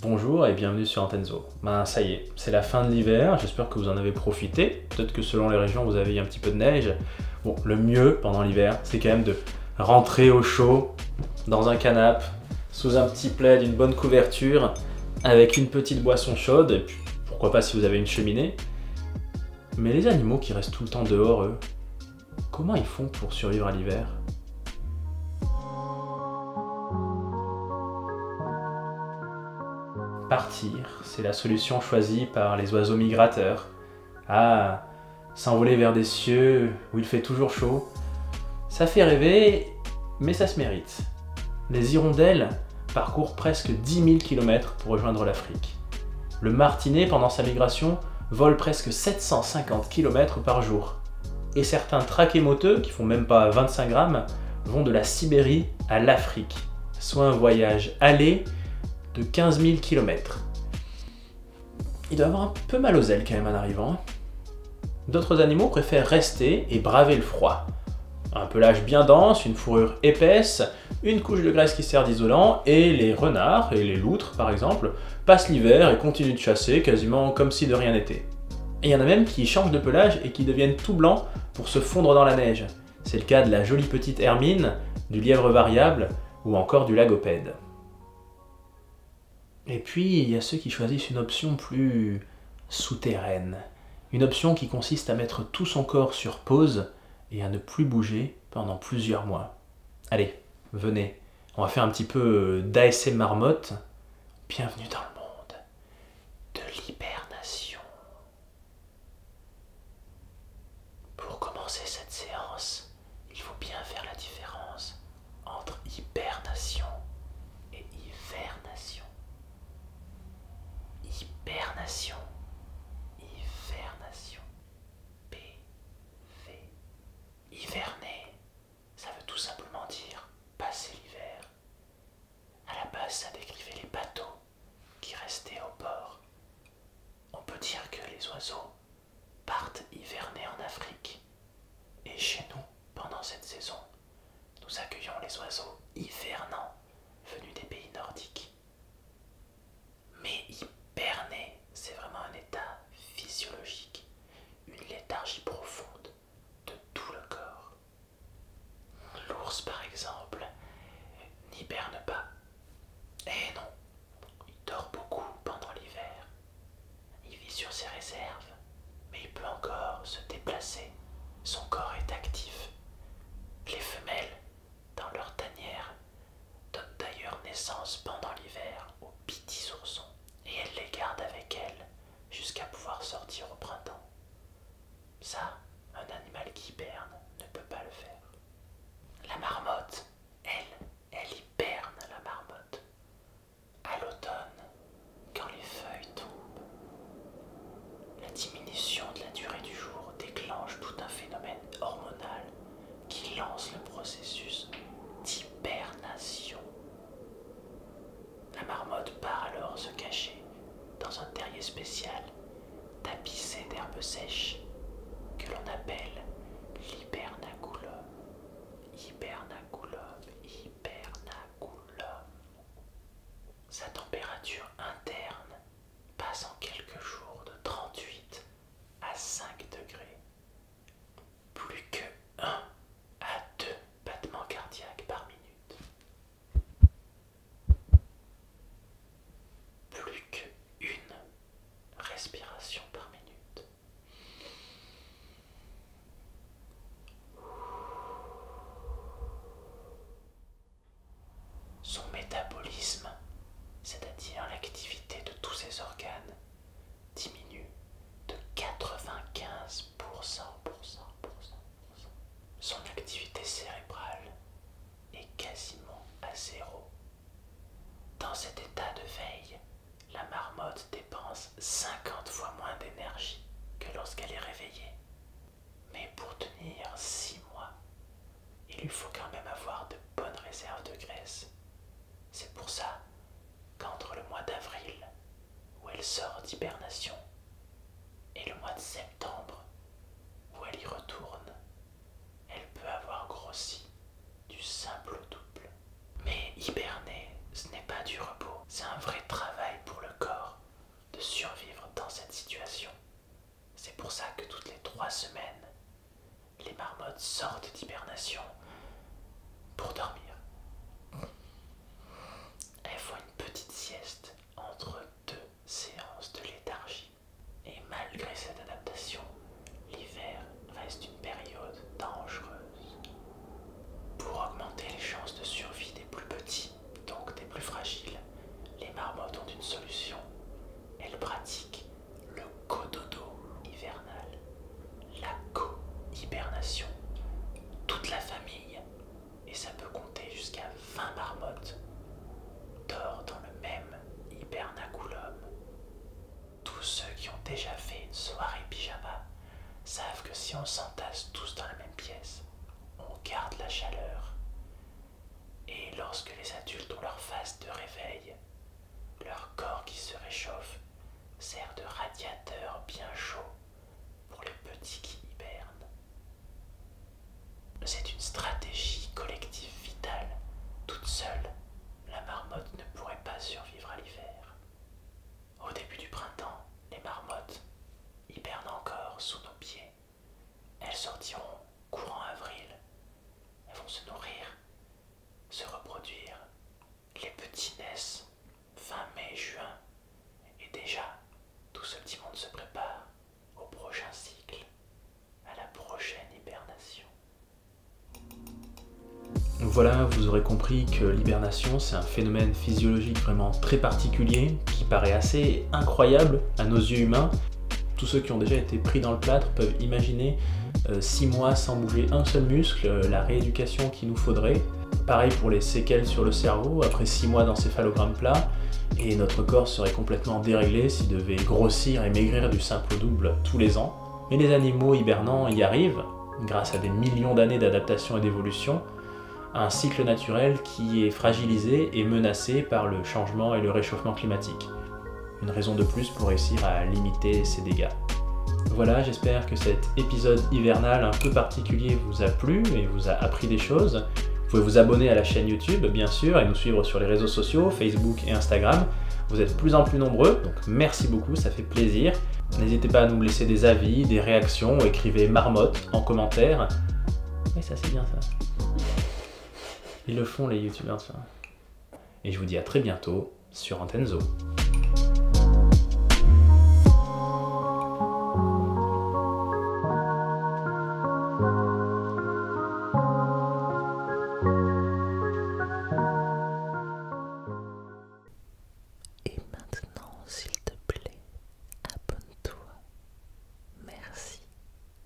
Bonjour et bienvenue sur Antenzo. Ben ça y est, c'est la fin de l'hiver, j'espère que vous en avez profité. Peut-être que selon les régions, vous avez un petit peu de neige. Bon, le mieux pendant l'hiver, c'est quand même de rentrer au chaud, dans un canapé, sous un petit plaid, une bonne couverture, avec une petite boisson chaude, et puis pourquoi pas si vous avez une cheminée. Mais les animaux qui restent tout le temps dehors, eux, Comment ils font pour survivre à l'hiver Partir, c'est la solution choisie par les oiseaux migrateurs. Ah, s'envoler vers des cieux où il fait toujours chaud, ça fait rêver, mais ça se mérite. Les hirondelles parcourent presque 10 000 km pour rejoindre l'Afrique. Le martinet, pendant sa migration, vole presque 750 km par jour. Et certains traquémoteux, qui font même pas 25 grammes, vont de la Sibérie à l'Afrique, soit un voyage aller de 15 000 km. Il doit avoir un peu mal aux ailes quand même en arrivant. Hein. D'autres animaux préfèrent rester et braver le froid. Un pelage bien dense, une fourrure épaisse, une couche de graisse qui sert d'isolant, et les renards et les loups par exemple, passent l'hiver et continuent de chasser quasiment comme si de rien n'était. Et il y en a même qui changent de pelage et qui deviennent tout blancs pour se fondre dans la neige. C'est le cas de la jolie petite hermine, du lièvre variable ou encore du lagopède. Et puis, il y a ceux qui choisissent une option plus souterraine. Une option qui consiste à mettre tout son corps sur pause et à ne plus bouger pendant plusieurs mois. Allez, venez, on va faire un petit peu euh, d'ASM marmotte. Bienvenue dans le monde de l'hibernation. Pour commencer cette séance, il faut bien faire la différence entre hibernation et hivernation. Hibernation. Hivernation. P. V. Hiverner, ça veut tout simplement dire passer l'hiver. À la base, ça décrivait les bateaux qui restaient au port. On peut dire que les oiseaux partent hiverner en Afrique. Et chez nous, pendant cette saison, nous accueillons les oiseaux hivernants venus des pays nordiques. Mais Berner, c'est vraiment un état physiologique, une léthargie profonde de tout le corps. L'ours, par exemple, n'hiberne pas. Eh non, il dort beaucoup pendant l'hiver. Il vit sur ses réserves, mais il peut encore se déplacer. Son corps est actif. Les femelles, dans leur tanière, donne d'ailleurs naissance pendant l'hiver aux petits oursons et elle les garde avec elle jusqu'à pouvoir sortir au printemps. Ça, un animal qui hiberne ne peut pas le faire. La marmotte, elle, elle hiberne la marmotte. À l'automne, quand les feuilles tombent, la diminution de la durée du jour déclenche tout un phénomène hormonal qui lance le processus d'hibernation. La marmotte part alors se cacher dans un terrier spécial tapissé d'herbes sèches que l'on appelle l'hibernaculum. Sa température interne passe en quelques jours de 38 à 5 degrés plus que 1 à 2 battements cardiaques par minute. Plus que une respiration par minute. Son métabolisme, c'est-à-dire l'activité de tous ses organes, diminue de 95% Son activité cérébrale est quasiment à zéro. Dans cet état de veille, la marmotte dépense 50 fois moins d'énergie que lorsqu'elle est réveillée. Mais pour tenir 6 mois, il lui faut quand même avoir de bonnes réserves de graisse. C'est pour ça qu'entre le mois d'avril, où elle sort d'hibernation, et le mois de septembre, où elle y retourne, elle peut avoir grossi du simple au double. Mais hiberner, ce n'est pas du repos, c'est un vrai travail pour le corps de survivre dans cette situation. C'est pour ça que toutes les trois semaines, les marmottes sortent d'hibernation pour dormir. Elles font une petite sieste entre deux séances de léthargie. Et malgré cette adaptation, l'hiver reste une période dangereuse. Pour augmenter les chances de survie des plus petits, donc des plus fragiles, les marmottes ont une solution. Elles pratiquent le cododo hivernal, la co-hibernation, toute la famille, et ça peut compter jusqu'à 20 marmottes, dort dans le même hibernaculum. Tous ceux qui ont déjà fait une soirée pyjama savent que si on s'entasse tous dans la même pièce, on garde la chaleur. Et lorsque les adultes ont leur phase de réveil, leur corps qui se réchauffe sert de radiateur bien chaud pour les petits qui hibernent. C'est une stratégie collective vitale. Toute seule, la marmotte ne pourrait pas survivre à l'hiver. Au début du printemps, les marmottes hibernent encore sous nos pieds. Elles sortiront courant avril. Elles vont se nourrir, se reproduire. Les petits naissent fin mai, juin. Et déjà, tout ce petit monde se prépare au prochain cycle, à la prochaine hibernation. voilà, vous aurez compris que l'hibernation, c'est un phénomène physiologique vraiment très particulier, qui paraît assez incroyable à nos yeux humains, tous ceux qui ont déjà été pris dans le plâtre peuvent imaginer 6 euh, mois sans bouger un seul muscle, euh, la rééducation qu'il nous faudrait. Pareil pour les séquelles sur le cerveau, après six mois d'encéphalogramme plat, et notre corps serait complètement déréglé s'il devait grossir et maigrir du simple au double tous les ans. Mais les animaux hibernants y arrivent, grâce à des millions d'années d'adaptation et d'évolution, un cycle naturel qui est fragilisé et menacé par le changement et le réchauffement climatique. Une raison de plus pour réussir à limiter ces dégâts. Voilà, j'espère que cet épisode hivernal un peu particulier vous a plu et vous a appris des choses. Vous pouvez vous abonner à la chaîne YouTube, bien sûr, et nous suivre sur les réseaux sociaux, Facebook et Instagram. Vous êtes de plus en plus nombreux, donc merci beaucoup, ça fait plaisir. N'hésitez pas à nous laisser des avis, des réactions, écrivez marmotte en commentaire. Oui, ça c'est bien ça. Ils le font les youtubeurs, et je vous dis à très bientôt sur Antenzo Et maintenant, s'il te plaît, abonne-toi. Merci.